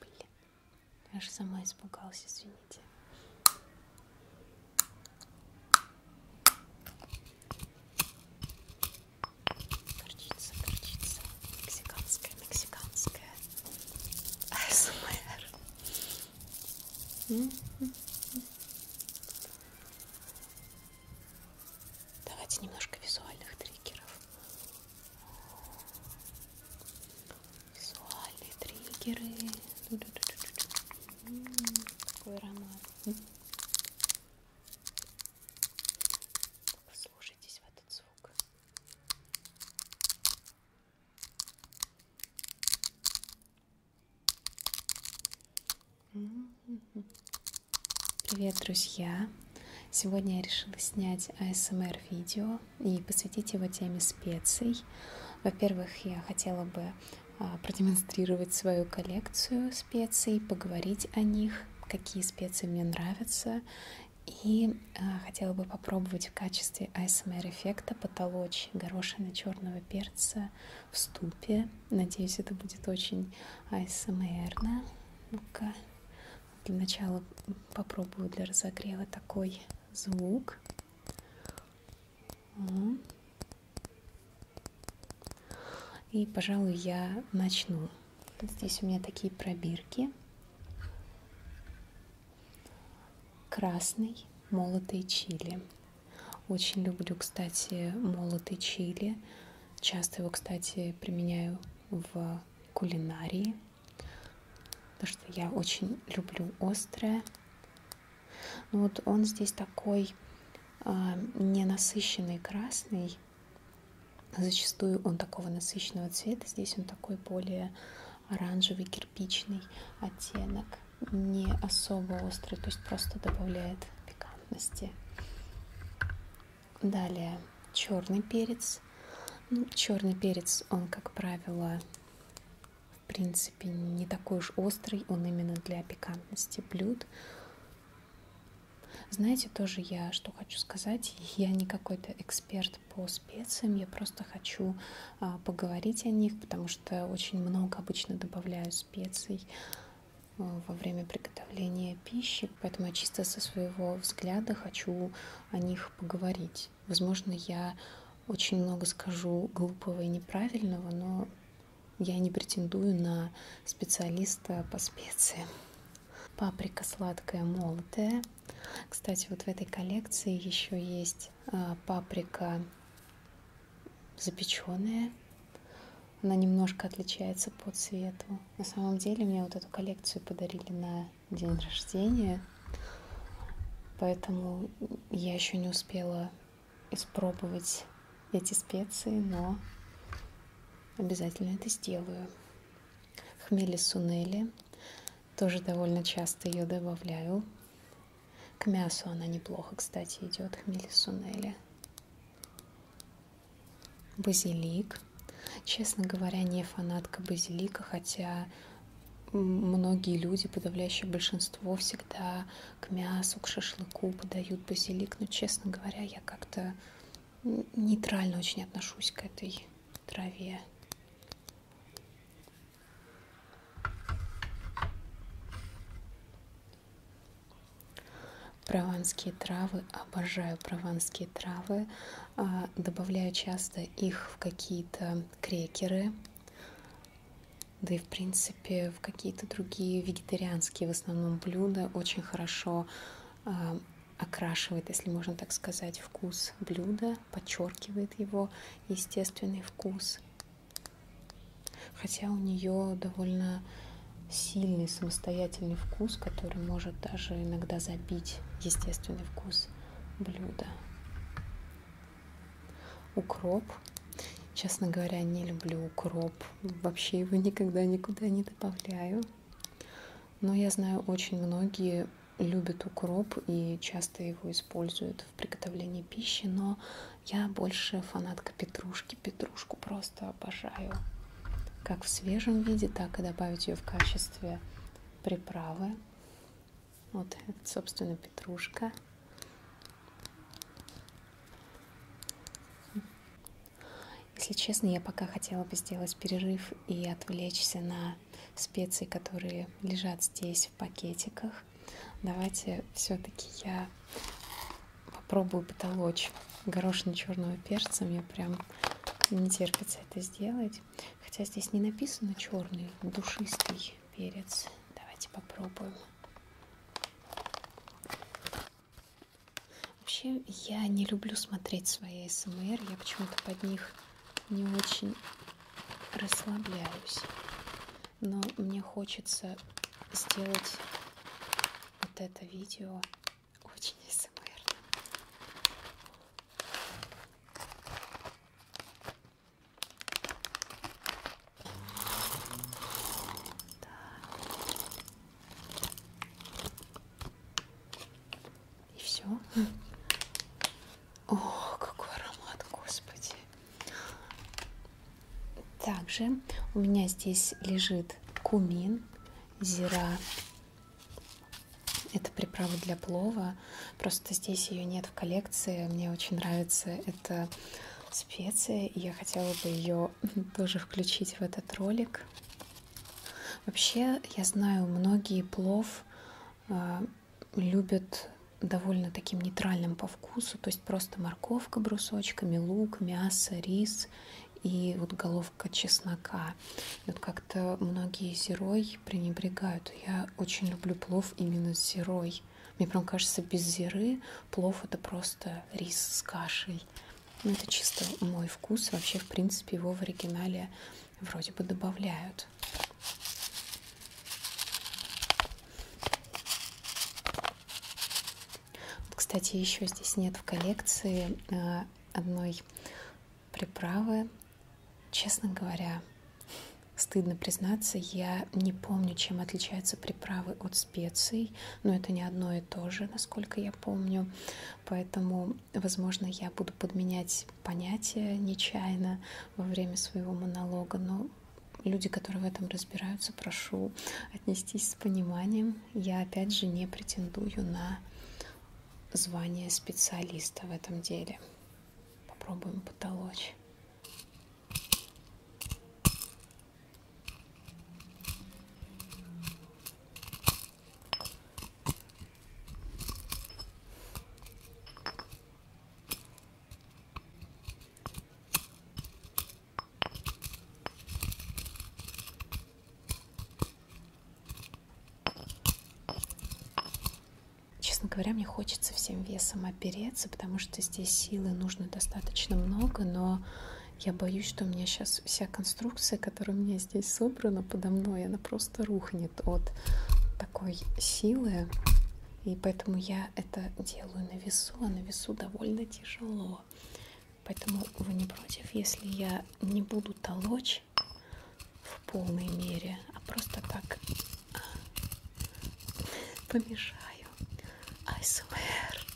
Блин, я же сама испугалась, извините. Горчица, горчица, мексиканская, мексиканская АСМР. Давайте немножко визуальных триггеров. Визуальные триггеры. Какой аромат. Послушайтесь в этот звук. Mm -hmm. Привет, друзья! Сегодня я решила снять ASMR-видео и посвятить его теме специй. Во-первых, я хотела бы а, продемонстрировать свою коллекцию специй, поговорить о них, какие специи мне нравятся, и а, хотела бы попробовать в качестве ASMR-эффекта потолочь горошины черного перца в ступе. Надеюсь, это будет очень ASMR-ну-ка. Для начала попробую для разогрева такой звук. И, пожалуй, я начну. Здесь у меня такие пробирки. Красный молотый чили. Очень люблю, кстати, молотый чили. Часто его, кстати, применяю в кулинарии, потому что я очень люблю острое. Ну вот он здесь такой а, ненасыщенный красный. Зачастую он такого насыщенного цвета. Здесь он такой более оранжевый кирпичный оттенок. Не особо острый, то есть просто добавляет пикантности. Далее черный перец. Ну, черный перец, он, как правило, в принципе, не такой уж острый, он именно для пикантности блюд. Знаете, тоже я что хочу сказать, я не какой-то эксперт по специям, я просто хочу а, поговорить о них, потому что очень много обычно добавляю специй Э, во время приготовления пищи, поэтому я чисто со своего взгляда хочу о них поговорить. Возможно, я очень много скажу глупого и неправильного, но я не претендую на специалиста по специям. Паприка сладкая молотая. Кстати, вот в этой коллекции еще есть э, паприка запеченная, она немножко отличается по цвету. На самом деле мне вот эту коллекцию подарили на день рождения, поэтому я еще не успела испробовать эти специи, но обязательно это сделаю. Хмели сунели, тоже довольно часто ее добавляю. К мясу она неплохо, кстати, идет, хмели сунели базилик. Честно говоря, не фанатка базилика, хотя многие люди, подавляющее большинство, всегда к мясу, к шашлыку подают базилик. Но, честно говоря, я как-то нейтрально очень отношусь к этой траве. Прованские травы, обожаю прованские травы. А, добавляю часто их в какие-то крекеры, да и в принципе в какие-то другие вегетарианские в основном блюда. Очень хорошо а, окрашивает, если можно так сказать, вкус блюда, подчеркивает его естественный вкус. Хотя у нее довольно сильный самостоятельный вкус, который может даже иногда забить естественный вкус блюда. Укроп. Честно говоря, не люблю укроп. Вообще его никогда никуда не добавляю. Но я знаю, очень многие любят укроп и часто его используют в приготовлении пищи, но я больше фанатка петрушки. Петрушку просто обожаю. Как в свежем виде, так и добавить ее в качестве приправы. Вот, это, собственно, петрушка. Если честно, я пока хотела бы сделать перерыв и отвлечься на специи, которые лежат здесь в пакетиках книгах. Давайте все-таки я попробую потолочь горошин черного перца. Мне прям не терпится это сделать. Хотя здесь не написано черный, душистый перец. Давайте попробуем. Вообще, я не люблю смотреть свои СМР, я почему-то под них не очень расслабляюсь но мне хочется сделать вот это видео очень СМР. Да. И все. О, какой аромат, господи. Также у меня здесь лежит кумин, зира. Это приправа для плова. Просто здесь ее нет в коллекции. Мне очень нравится эта специя. И я хотела бы ее тоже включить в этот ролик. Вообще, я знаю, многие плов э, любят довольно таким нейтральным по вкусу, то есть просто морковка брусочками, лук, мясо, рис и вот головка чеснока. Вот как-то многие зирой пренебрегают. Я очень люблю плов именно с зирой. Мне прям кажется, без зиры плов это просто рис с кашей. Ну, это чисто мой вкус. Вообще, в принципе, его в оригинале вроде бы добавляют. Вот, кстати, еще здесь нет в коллекции э, одной приправы. Честно говоря, стыдно признаться, я не помню, чем отличаются приправы от специй, но это не одно и то же, насколько я помню. Поэтому, возможно, я буду подменять понятия нечаянно во время своего монолога, но люди, которые в этом разбираются, прошу отнестись с пониманием. Я опять же не претендую на звание специалиста в этом деле. Попробуем потолочь. Честно говоря, мне хочется всем весом опереться, потому что здесь силы нужно достаточно много, но я боюсь, что у меня сейчас вся конструкция, которая у меня здесь собрана подо мной, она просто рухнет от такой силы. И поэтому я это делаю на весу, а на весу довольно тяжело. Поэтому вы не против, если я не буду толочь в полной мере, а просто так а, помешаю. I swear.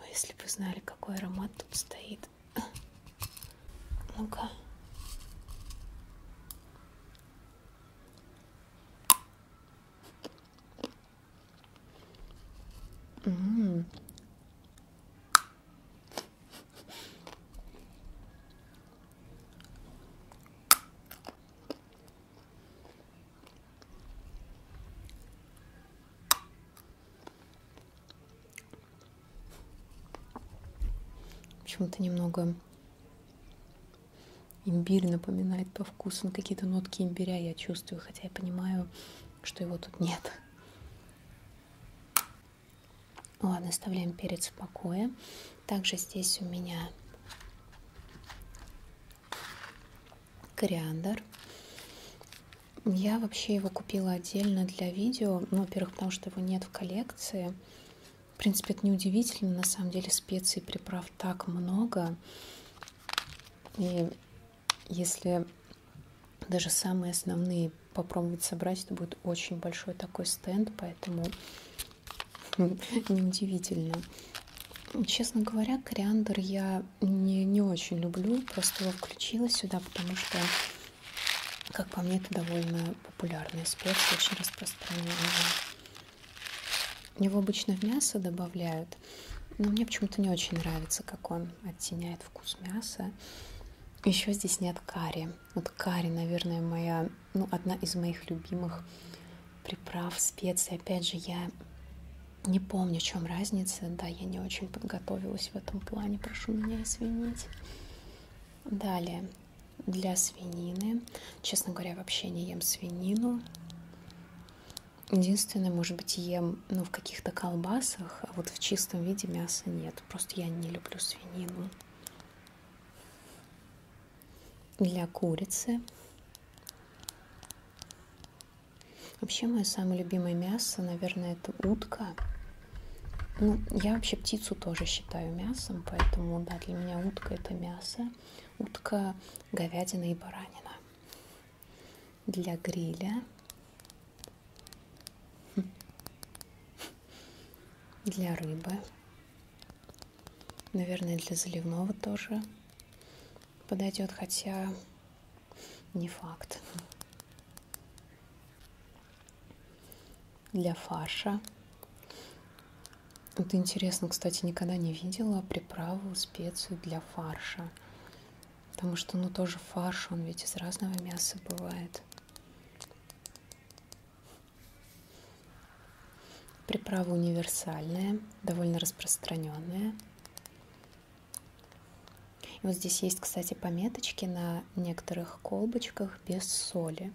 Ой, если бы знали, какой аромат тут стоит. Ну-ка. М -м -м. Почему-то немного Имбирь напоминает по вкусу, ну, какие-то нотки имбиря я чувствую, хотя я понимаю, что его тут нет. Ну ладно, оставляем перец в покое. Также здесь у меня кориандр. Я вообще его купила отдельно для видео, ну, во-первых, потому что его нет в коллекции, в принципе, это неудивительно. На самом деле специй и приправ так много. И если даже самые основные попробовать собрать, это будет очень большой такой стенд, поэтому неудивительно. Честно говоря, кориандр я не, не очень люблю, просто его включила сюда, потому что как по мне, это довольно популярный спец, очень распространенный. Его обычно в мясо добавляют, но мне почему-то не очень нравится, как он оттеняет вкус мяса. Еще здесь нет карри. Вот карри, наверное, моя, ну, одна из моих любимых приправ, специй. Опять же, я не помню, в чем разница. Да, я не очень подготовилась в этом плане, прошу меня извинить. Далее, для свинины. Честно говоря, вообще не ем свинину. Единственное, может быть, ем ну, в каких-то колбасах, а вот в чистом виде мяса нет. Просто я не люблю свинину. Для курицы. Вообще, мое самое любимое мясо, наверное, это утка. Ну, я вообще птицу тоже считаю мясом, поэтому, да, для меня утка это мясо. Утка, говядина и баранина. Для гриля. Для рыбы. Наверное, для заливного тоже подойдет, хотя не факт для фарша. Вот интересно, кстати, никогда не видела приправу, специю для фарша. Потому что, ну, тоже фарш, он ведь из разного мяса бывает. Приправа универсальная, довольно распространенная. И вот здесь есть, кстати, пометочки на некоторых колбочках, их без соли.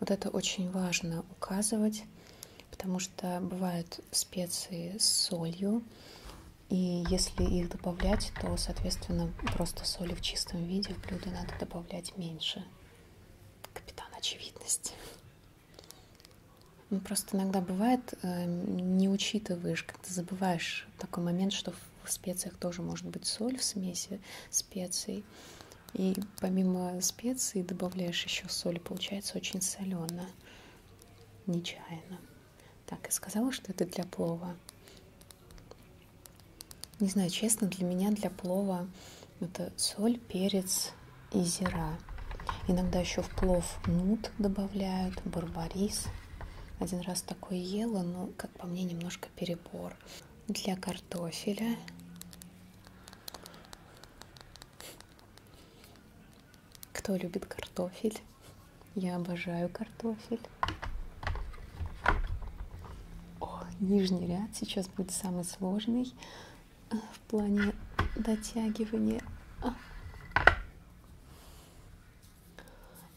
Вот это очень важно указывать, потому что бывают специи с солью, и если их добавлять, то, соответственно, просто соли в чистом виде в блюдо надо добавлять меньше. Капитан очевидности. Ну, просто иногда бывает, э, не учитываешь, как ты забываешь такой момент, что в специях тоже может быть соль в смеси специй. И помимо специй добавляешь еще соль, получается очень солено, нечаянно. Так, и сказала, что это для плова. Не знаю, честно, для меня для плова это соль, перец и зира. Иногда еще в плов нут добавляют, барбарис. Один раз такое ела, но, как по мне, немножко перебор набор для картофеля. Кто любит картофель? Я обожаю картофель. О, нижний ряд сейчас будет самый сложный э, в плане дотягивания. А.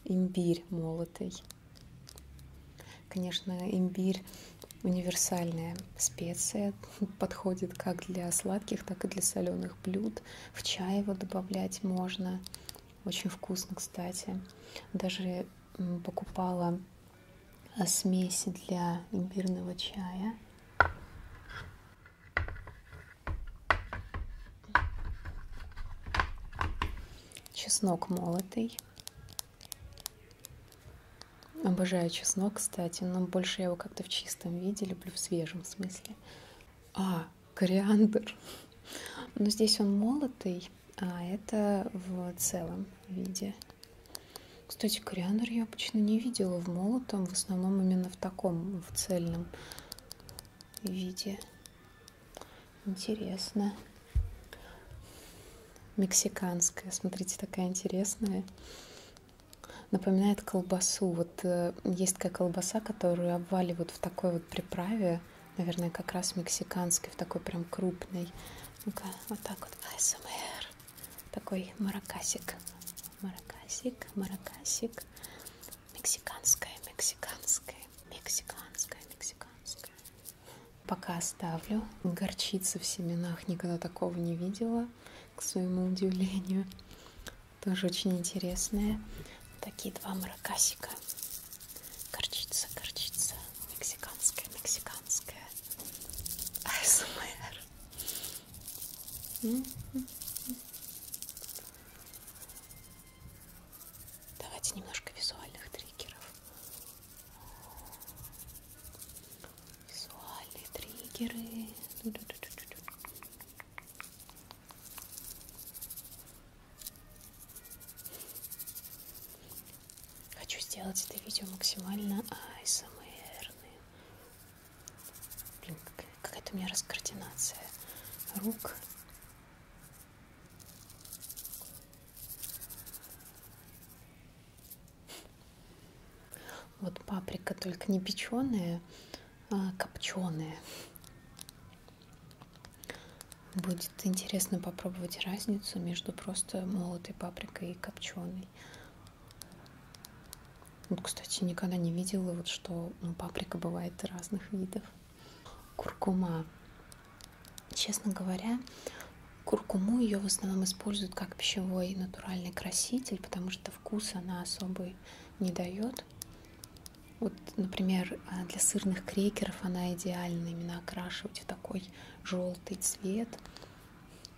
Имбирь молотый. Конечно, имбирь универсальная специя, подходит как для сладких, так и для соленых блюд. В чай его добавлять можно. Очень вкусно, кстати. Даже покупала э, смеси для имбирного чая чеснок молотый. Обожаю чеснок, кстати, но больше я его как-то в чистом виде люблю, в свежем смысле. А, кориандр. Но здесь он молотый, а это в целом виде. Кстати, кориандр я обычно не видела в молотом, в основном именно в таком, в цельном виде. Интересно. Мексиканская. Смотрите, такая интересная. Напоминает колбасу. Вот э, есть такая колбаса, которую обваливают в такой вот приправе. Наверное, как раз мексиканской, в такой прям крупной. Ну-ка, вот так вот. АСМР. Такой маракасик. Маракасик, маракасик. Мексиканская, мексиканская, мексиканская, мексиканская. Пока оставлю. Горчица в семенах никогда такого не видела, к своему удивлению. Тоже очень интересная. Такие два маракасика. Горчица, горчица, мексиканская, мексиканская. АСМР. Давайте немножко визуальных триггеров. Визуальные триггеры. Хочу сделать это видео максимально ASMR-ным. Эм Блин, какая-то у меня раскоординация рук вот паприка только не печеная, а копченая. Будет интересно попробовать разницу между просто молотой паприкой и копченой. Вот, кстати, никогда не видела, вот, что ну, паприка бывает разных видов куркума. Честно говоря, куркуму ее в основном используют как пищевой натуральный краситель, потому что вкус она особый не дает. Вот, например, а, для сырных крекеров она идеальна именно окрашивать в такой желтый цвет.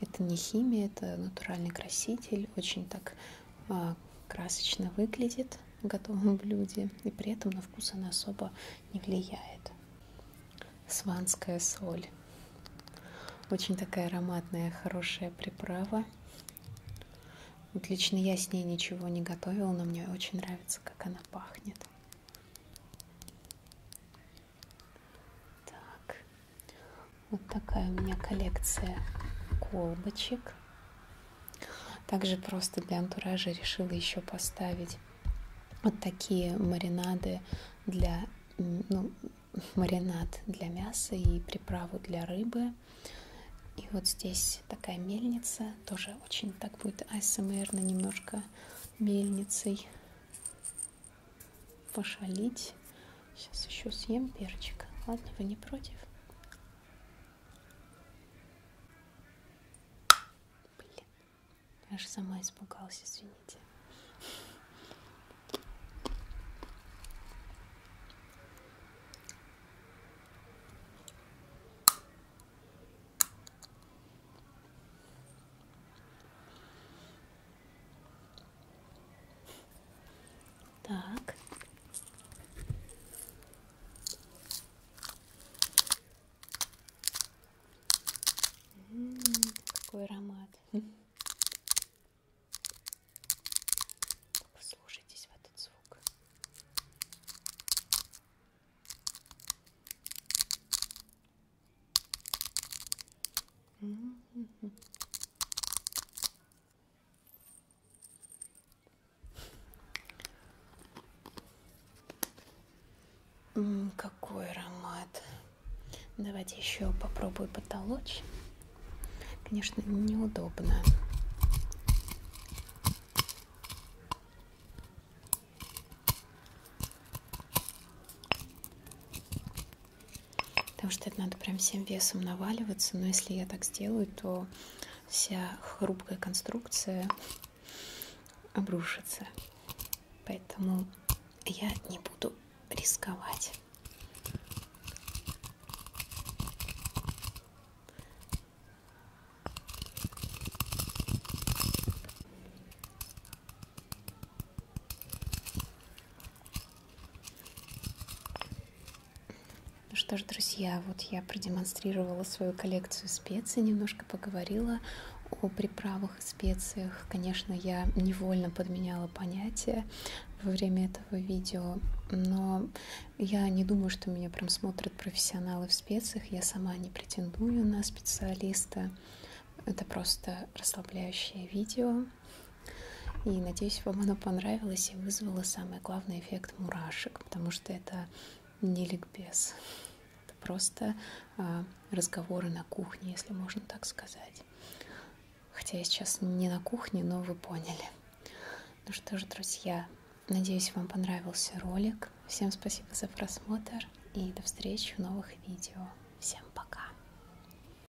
Это не химия, это натуральный краситель, очень так а, красочно выглядит в готовом блюде, и при этом на вкус она особо не влияет. Сванская соль. Очень такая ароматная, хорошая приправа. Вот лично я с ней ничего не готовила, но мне очень нравится, как она пахнет. Так, вот такая у меня коллекция колбочек также просто для антуража решила еще поставить вот такие маринады для ну, маринад для мяса и приправу для рыбы. И вот здесь такая мельница, тоже очень так будет асмрно немножко мельницей пошалить. Сейчас еще съем перчик. Ладно, вы не против? Блин, я же сама испугалась, извините. Так. М -м -м, какой аромат. Слушайтесь в этот звук. М -м -м. М -м, какой аромат. Давайте еще попробую потолочь. Конечно, неудобно. Потому что это надо прям всем весом наваливаться. Но если я так сделаю, то вся хрупкая конструкция обрушится. Поэтому я не буду рисковать. Ну что ж, друзья, вот я продемонстрировала свою коллекцию специй, немножко поговорила о приправах и специях. Конечно, я невольно подменяла понятия во время этого видео, но я не думаю, что меня прям смотрят профессионалы в специях. Я сама не претендую на специалиста. Это просто расслабляющее видео. И надеюсь, вам оно понравилось и вызвало самый главный эффект мурашек, потому что это не ликбез. Это просто а, разговоры на кухне, если можно так сказать. Хотя я сейчас не на кухне, но вы поняли. Ну что ж, друзья, надеюсь, вам понравился ролик. Всем спасибо за просмотр и до встречи в новых видео. Всем пока!